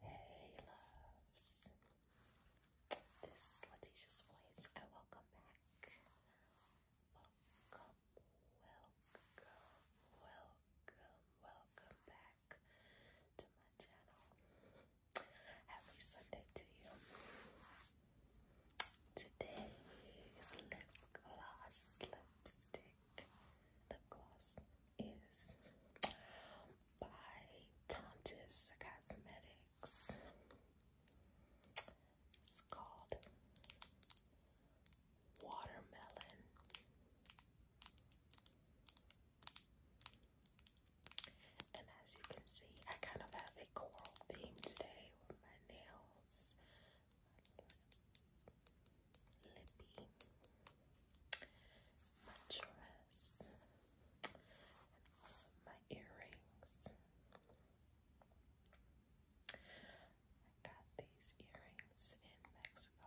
Hey loves, this is Letitia's voice and oh, welcome back. Welcome, welcome, welcome, welcome back to my channel. Happy Sunday to you. Today lip gloss lipstick. Lip gloss is by Tontis Cosmetics. It's called Watermelon. And as you can see, I kind of have a coral theme today with my nails. Libby, my dress, and also my earrings. I got these earrings in Mexico.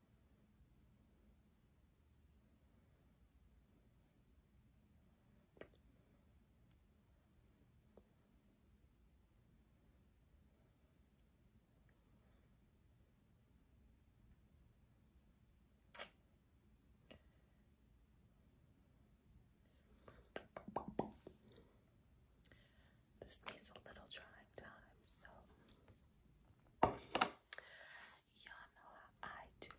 This needs a little drying time, so Y'all know how I do.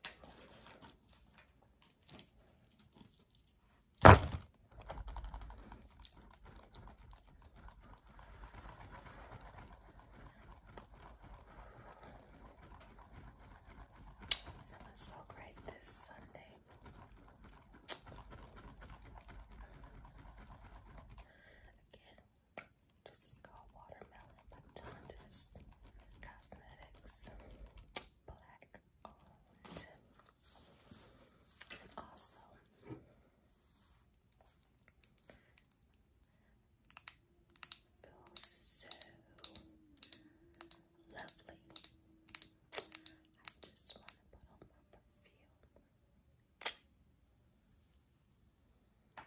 Feeling so great this Sunday. Again, this is called Watermelon by Tondas Cosmetics. Black owned. also feels so lovely. I just want to put on my perfume.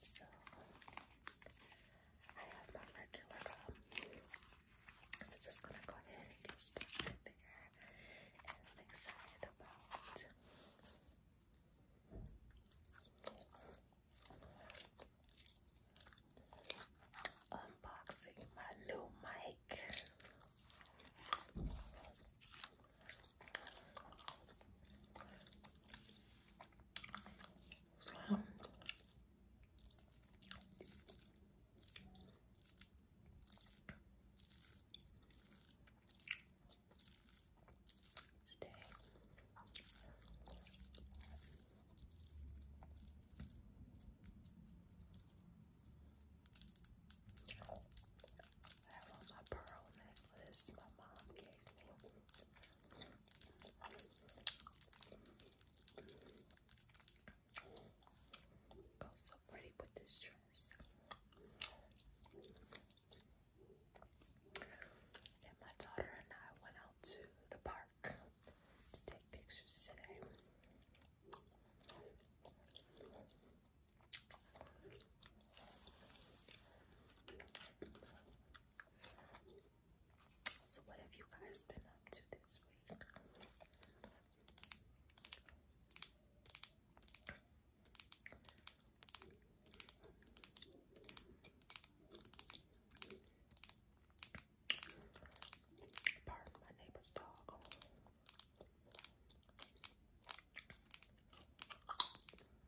So I have my regular gum. So just gonna go ahead and get started And I'm excited about unboxing my new mic. So today. I have on my pearl necklace my mom gave Go so pretty with this dress. And my daughter and I went out to the park to take pictures today. So, what have you guys been up to this week? Pardon my neighbor's dog.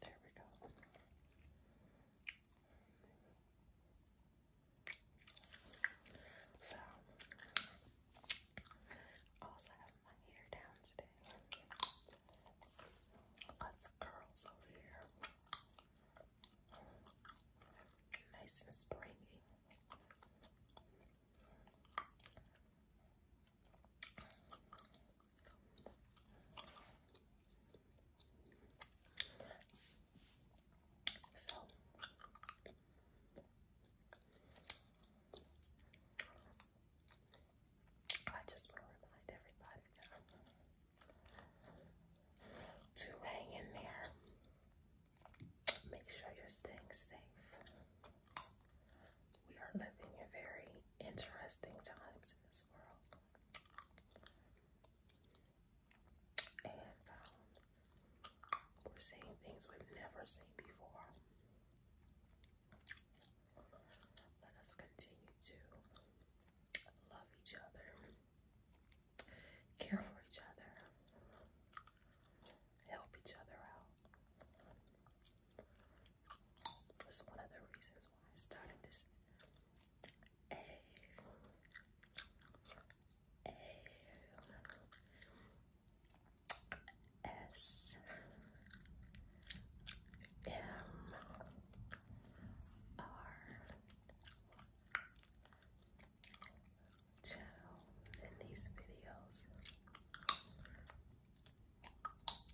There we go. So, also have my hair down today. Lots of curls over here. Nice and springy. So I just want to remind everybody to hang in there. Make sure you're staying safe. We are living in very interesting times in this world. And um, we're seeing things we've never seen before. Let us continue to love each other, care for each other, help each other out, was one of the reasons why I started this egg. channel in these videos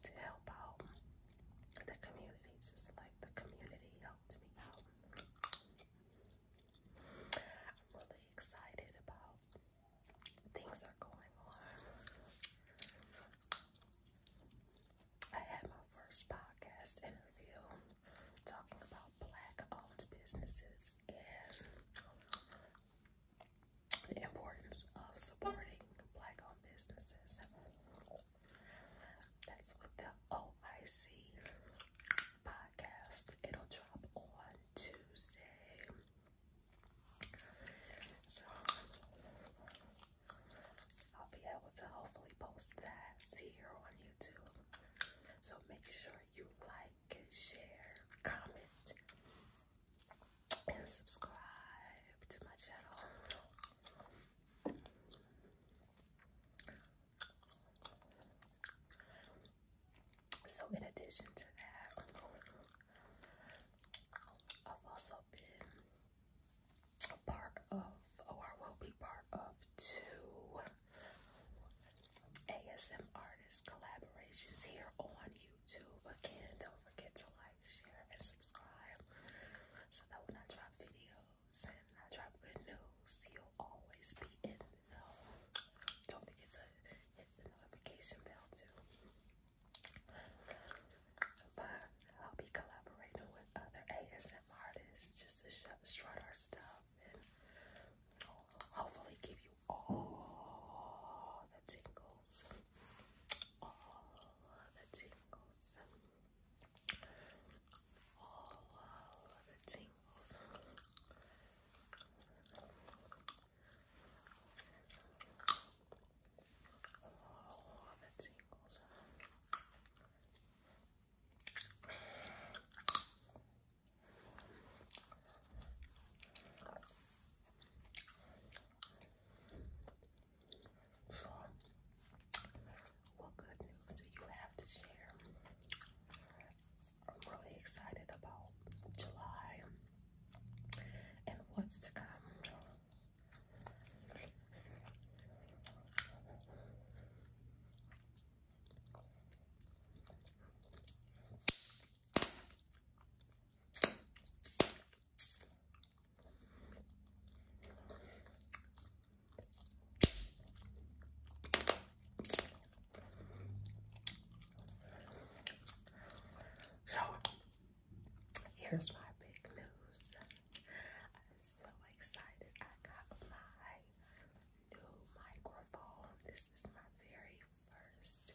to help out the community, just like the community helped me out. I'm really excited about things are going on. I had my first podcast interview talking about black owned businesses and the importance of supporting black-owned businesses. That's with the OIC podcast. It'll drop on Tuesday. I'll be able to hopefully post that here on YouTube. So make sure you like, share, comment, and subscribe to my channel. So, in addition to that, I've also been a part of, or will be part of, two ASM artist collaborations here on YouTube. Again, don't forget to like share, and subscribe so that when I drop videos and I drop good news, you'll always be in the know. Don't forget to hit the notification bell, too. But I'll be collaborating with other ASM artists just to strut our stuff and hopefully give you all the tingles all the tingles, all the tingles. All the tingles. So, what good news do you have to share? I'm really excited about July and what's to come. So here's my big news. I'm so excited. I got my new microphone. This is my very first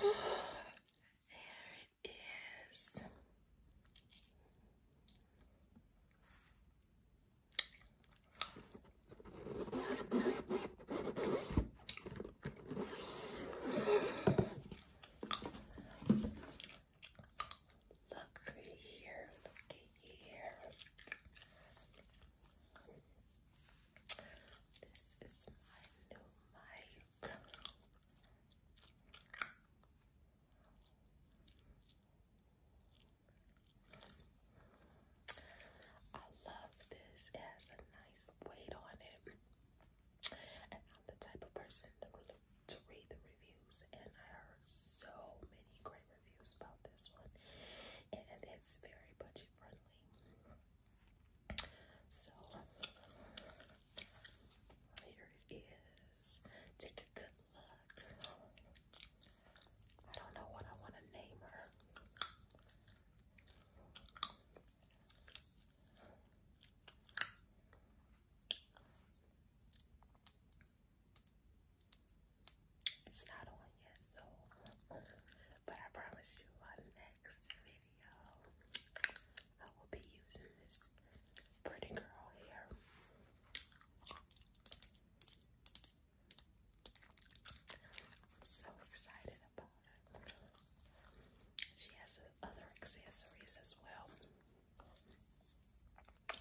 there it is. Look through here, look here. This is my new mic. I love this. It has a nice weight on it. And I'm the type of person to read the reviews, and I heard so many great reviews about this one. And it's very budget friendly. So here it is. Take a good look. I don't know what I want to name her. It's not on yet, so but I promise you, I next video, I will be using this pretty girl hair. am so excited about it. She has other accessories as well.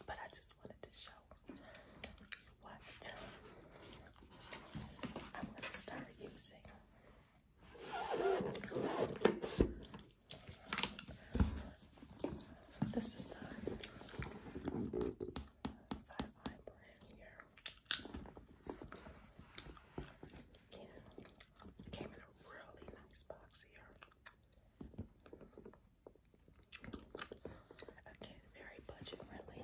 But I just wanted to show what I'm going to start using this is the five eye brand here. Came in a really nice box here. Again, very budget friendly.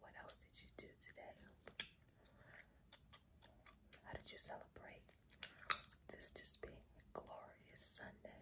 what else did you do today? How did you celebrate this just being a glorious Sunday?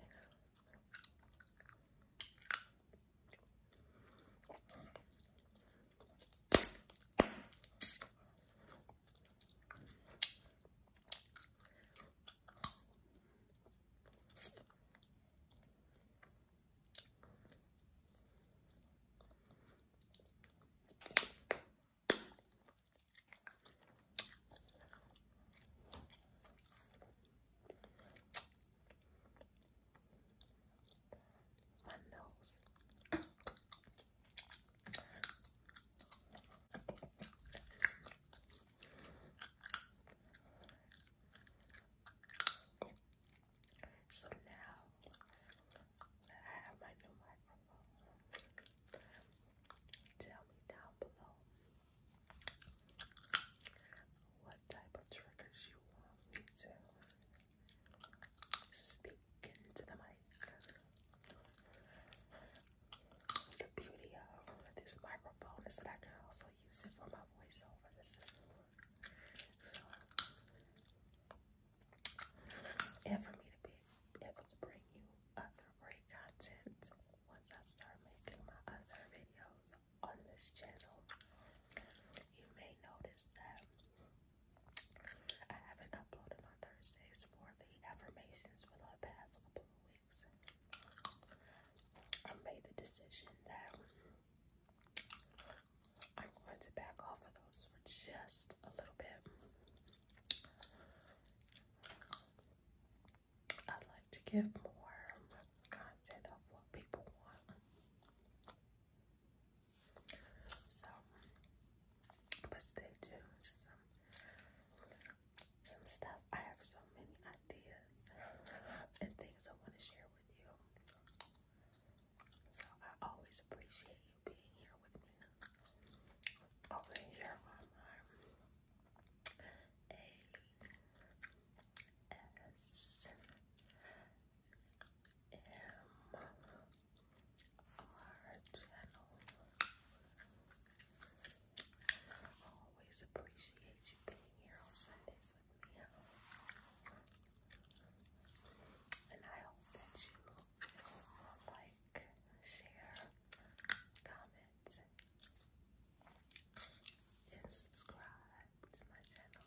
My nose. So now I have my new microphone, tell me down below what type of triggers you want me to speak into the mic. The beauty of this microphone is that I can also use it for my voiceovers. and for me to be able to bring you other great content once I start making my other videos on this channel. You may notice that I haven't uploaded on Thursdays for the affirmations for the past couple of I made the decision that I'm going to back off of those for just a little bit. I'd like to give more content of what people want. So, but stay tuned some stuff. I have so many ideas and things I want to share with you. So I always appreciate you being here with me over here on my ASMR channel. I always appreciate you being here on Sundays with me. And I hope that you like, share, comment, and subscribe to my channel.